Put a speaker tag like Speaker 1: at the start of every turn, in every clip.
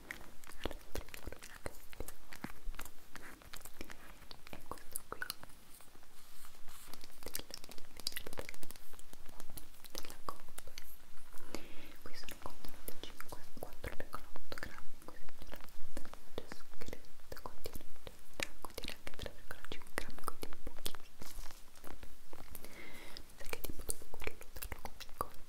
Speaker 1: e questo qui della Coop qui sono contenuti 5, 4,8 grammi c'è scritto contiene, contiene anche 3,5 grammi quindi pochissimo perché tipo dopo quello te lo comunico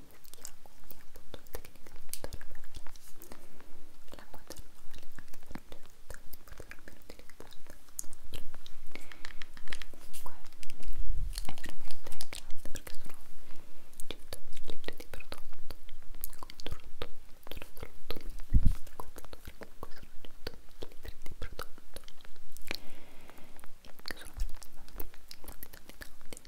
Speaker 1: fischia, quindi appunto tecnicamente dovrebbe l'acqua termale anche per un gelatone potrebbe utilizzarla comunque è veramente grande perché sono 100 litri di prodotto controllo tutto tutto comunque sono 100 litri di prodotto e sono veramente tanti tanti tanti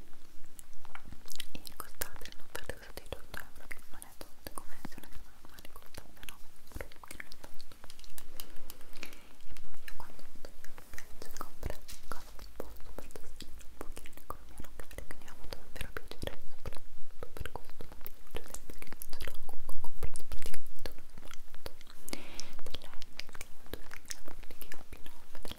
Speaker 1: e costate non perde cosa di 8 euro che non è tanto come se una casa normale costa 9 euro che non è tanto e poi io quando togliamo il prezzo compra cose un po' super sostenibili un pochino in economia locale quindi ho avuto davvero piacere soprattutto per questo motivo cioè sempre che non ce l'ho comunque comprato praticamente un matto della Henkel che ho 2000 che ho più 9 della